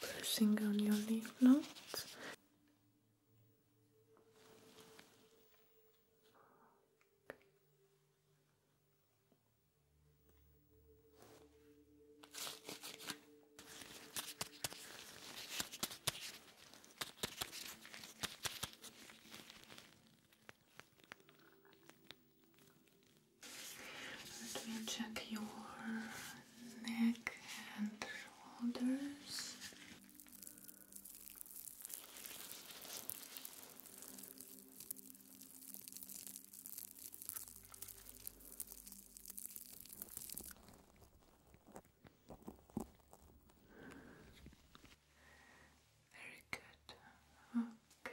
Pressing on your lymph nodes. Let me check your neck and shoulders. Very good. Okay.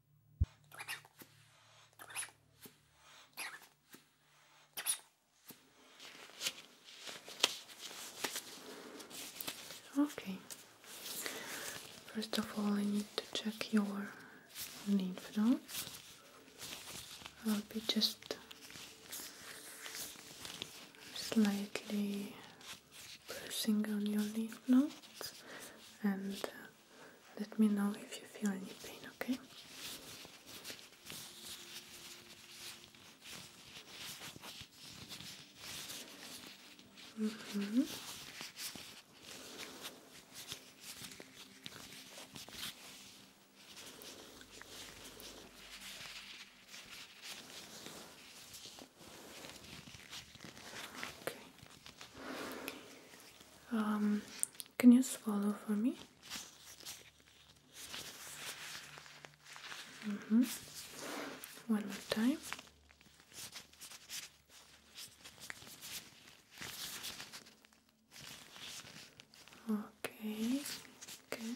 Okay. First of all, I need to check your lymph nodes. I'll be just slightly pressing on your lymph nodes and uh, let me know if you feel any pain, okay? Mm-hmm. Okay. Um, can you swallow for me? Mm-hmm. One more time. Okay, good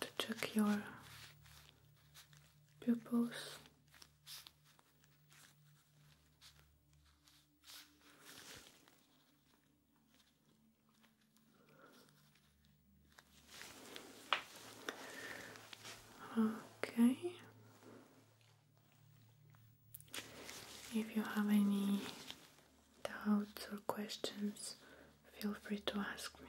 to check your pupils. Okay. If you have any doubts or questions, feel free to ask me.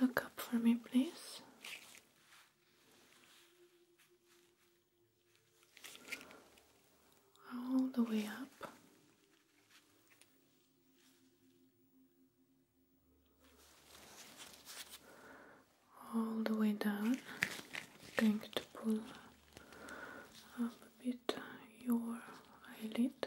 Look up for me, please. All the way up. All the way down. i to pull up bit your eyelid.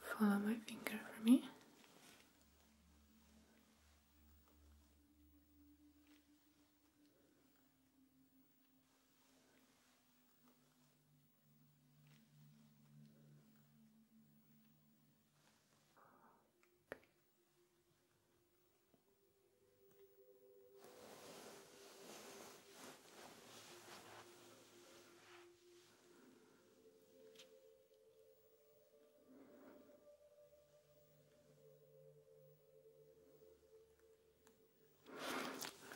Follow my finger for me.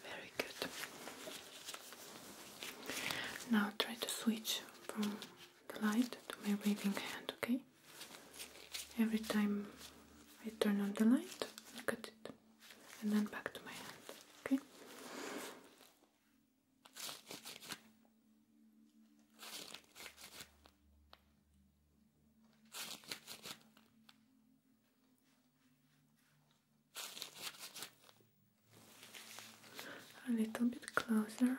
Very good. Now try to switch from the light to my waving hand, okay? Every time I turn on the light, look at it, and then back to my hand, okay? A little bit closer.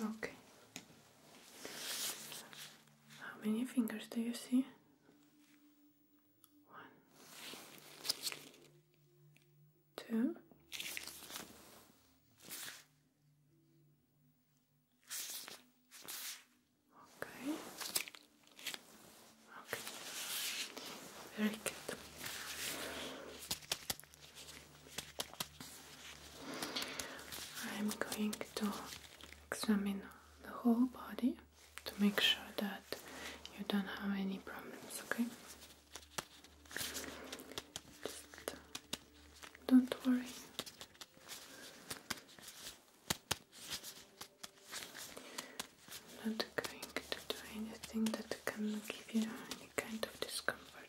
Okay. How many fingers do you see? One, two, okay, okay, very good. I'm going to examine the whole body to make sure that you don't have any problems, okay? don't worry. not going to do anything that can give you any kind of discomfort.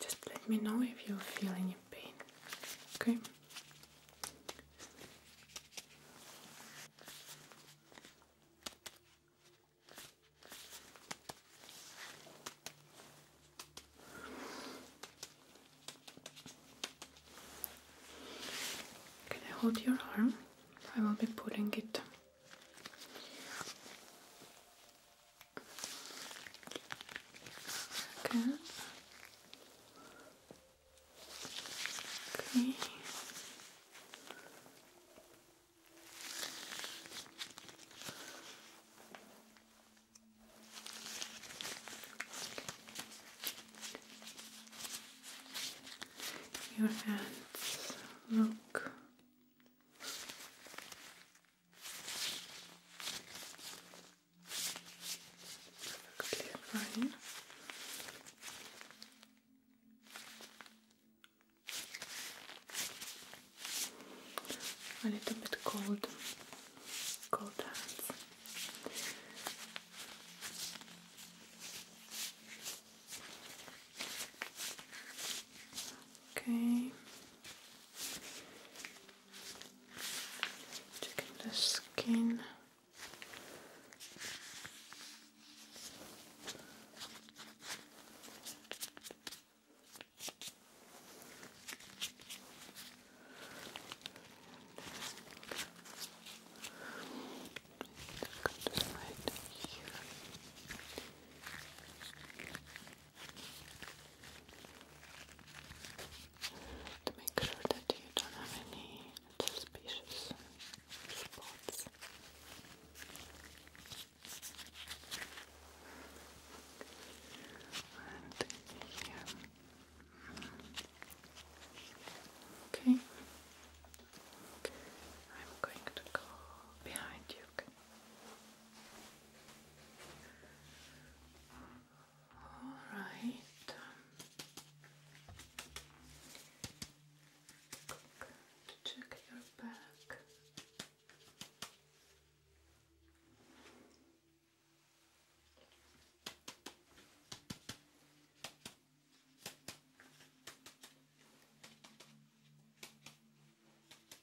Just let me know if you feel any pain, okay? Can I hold your arm? I will be putting it. Good. Okay. Your hands look a little bit cold, cold hands. Okay. Checking the skin. Right here to make sure that you don't have any suspicious spots. And Okay. I'm going to go behind you. All right. Good. Check your back.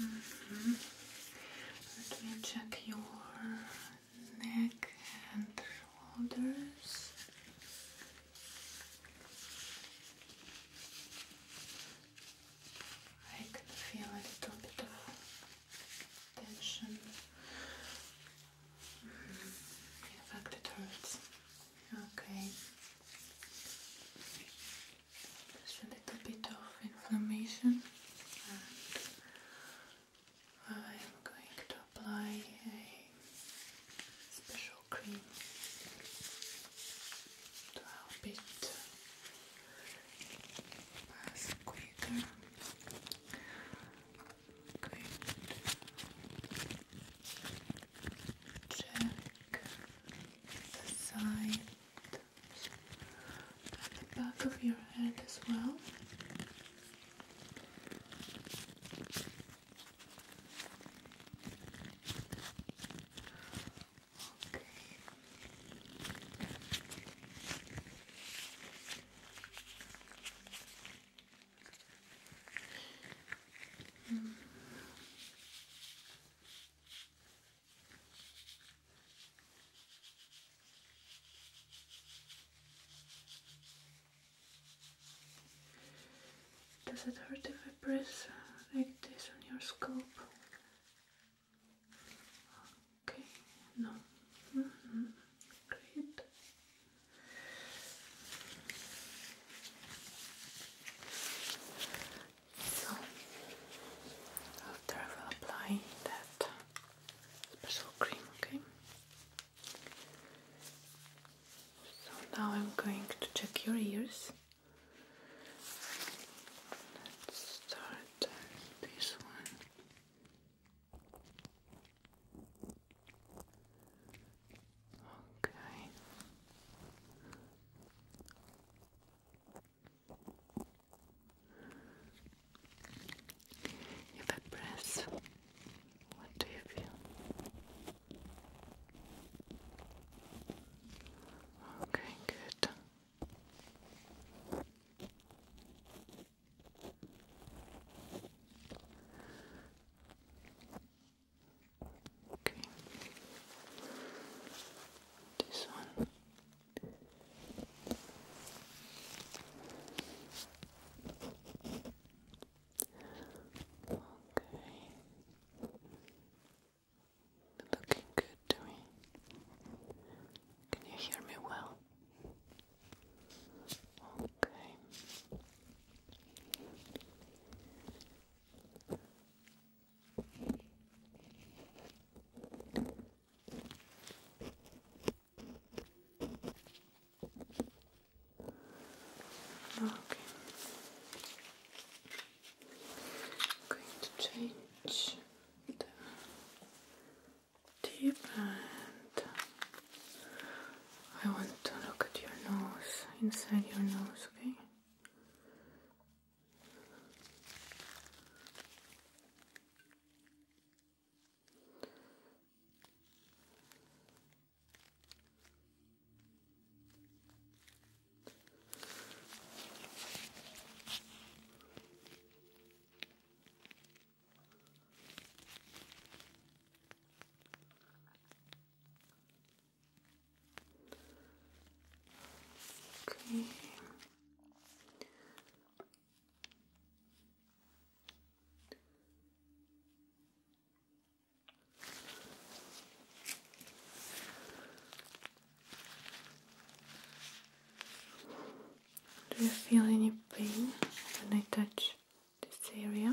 Mm-hmm. Let me check your neck and shoulders. I can feel a little bit of tension in fact, it hurts. Okay. Just a little bit of inflammation, I'm going to apply a special cream to help it pass quicker going the side and the back of your head as well. Okay. Does it hurt if I press uh, like this on your scalp? Okay, no. Mm -hmm. Great. So, after I will apply that special cream, okay? So now I'm going to check your ears. Let's start this one. Okay. If I press, what do you feel? Okay, good. Okay. This one. Okay. Looking good to me. Can you hear me well? Okay. Okay. going to change the tip and I want to look at your nose, inside your nose, okay? Okay. Do you feel any pain when I touch this area.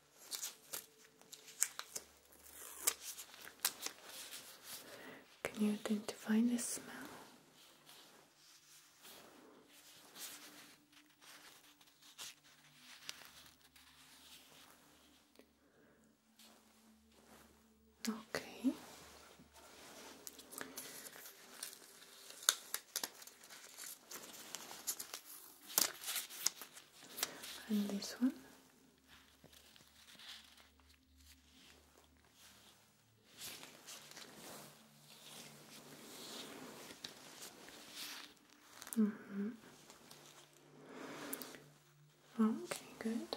Can you identify the smell? Okay and this one. Mm -hmm. Okay, good.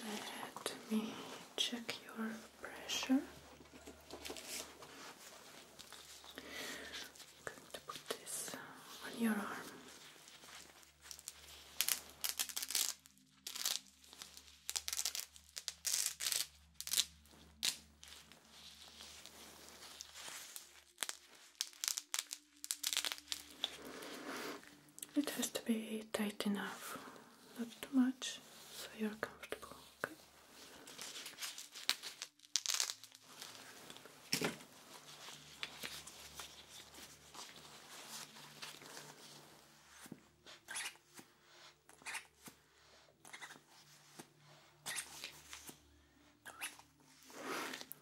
Let me check your pressure. I'm going to put this on your arm. It has to be tight enough, not too much, so you're comfortable. Okay.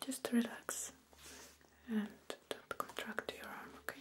Just relax and don't contract your arm, okay?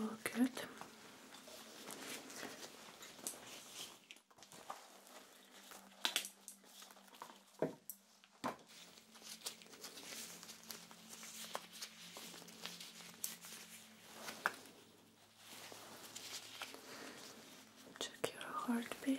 All good. Check your heartbeat.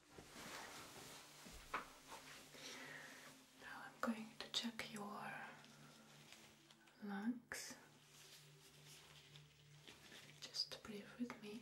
Now I'm going to check your lungs. Just breathe with me.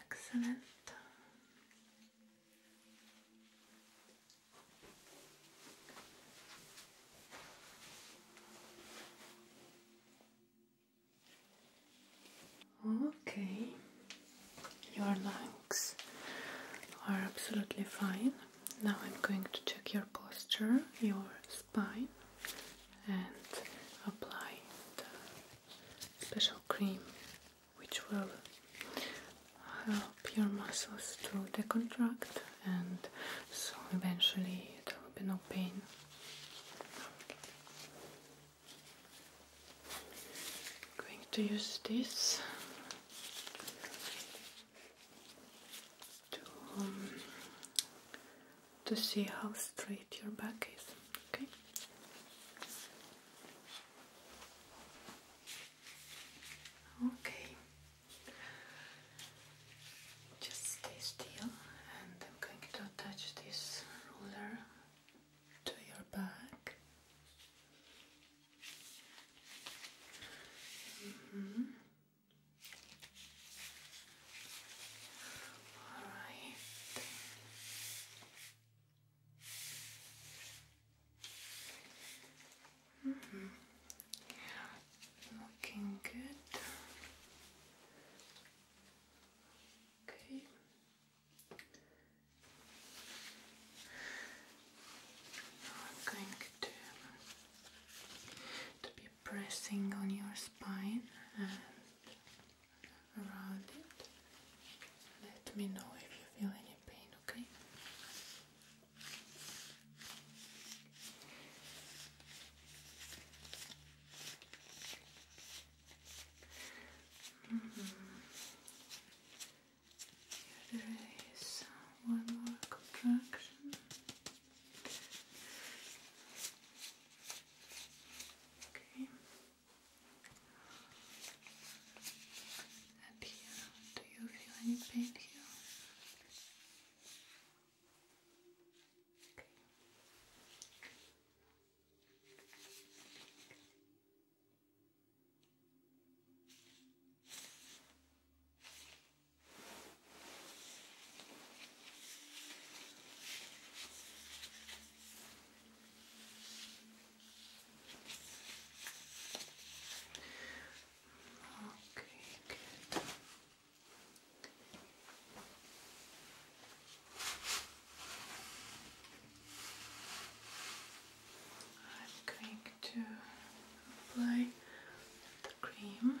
Excellent. Okay, your lungs are absolutely fine. Now I'm going to check your posture, your spine, and apply the special cream which will help your muscles to decontract and so eventually there will be no pain. going to use this to um, to see how straight your back is. Okay. Okay. Just stay still, and I'm going to attach this ruler to your back. Mm-hmm. All right. Mm -hmm. Looking good. Okay. I'm going to, to be pressing on your spine and around it. Let me know if you feel any pain, okay? Mm-hmm there is one more contraction. Okay. And here, do you feel any pain here? Okay, good. I'm going to apply the cream.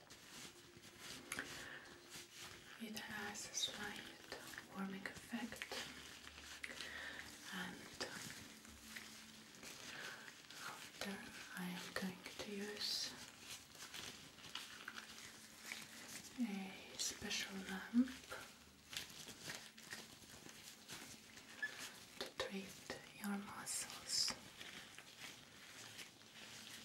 It has a slight warming effect and after I am going to use a special lamp to treat your muscles.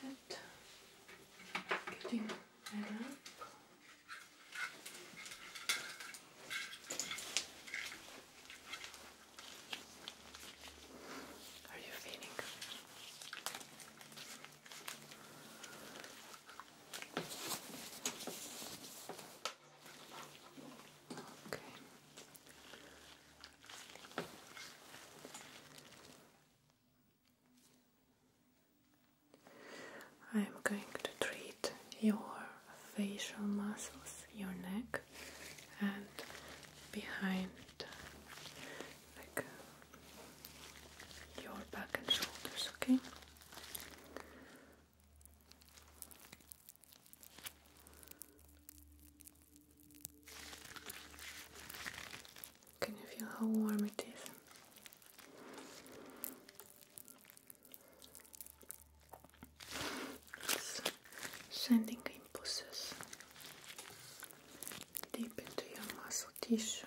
Good. Getting that up. Are you feeling? Okay. I am going to treat your facial muscles, your neck, and behind, like your back and shoulders, okay? Can you feel how warm it is? sending impulses deep into your muscle tissue.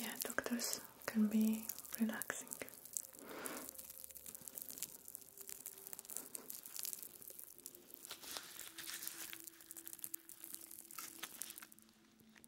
Yeah, doctors can be relaxing.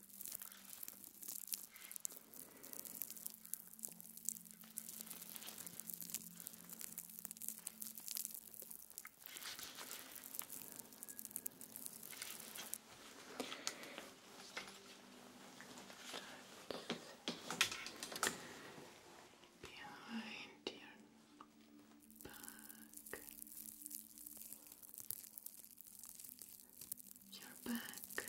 Behind your back. Good. You're back.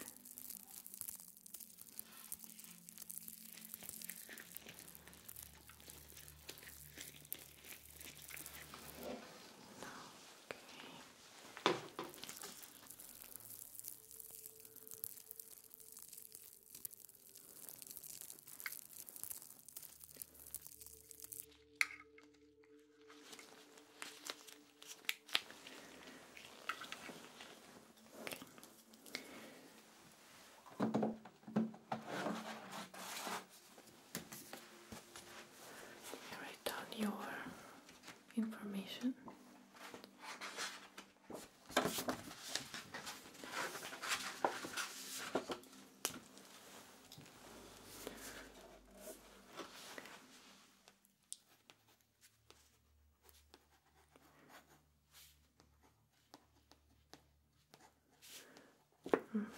Write down your information.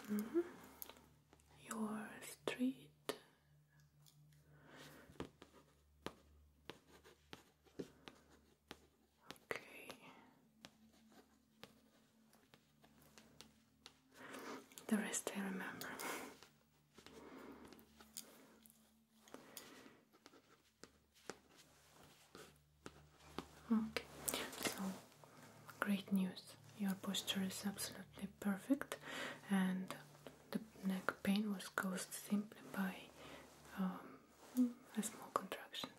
Mm -hmm. Your street. Okay. The rest I remember. Okay, so great news. Your posture is absolutely perfect, and the neck pain was caused simply by um, a small contraction.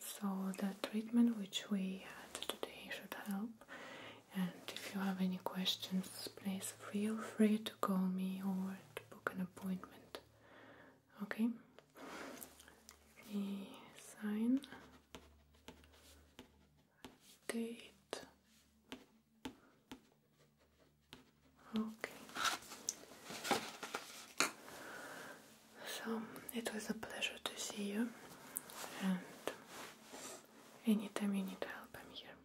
So, the treatment which we had today should help and if you have any questions, please feel free to call me or to book an appointment. Okay? sign date. Okay. So it was a pleasure to see you, and anytime you need help, I'm here.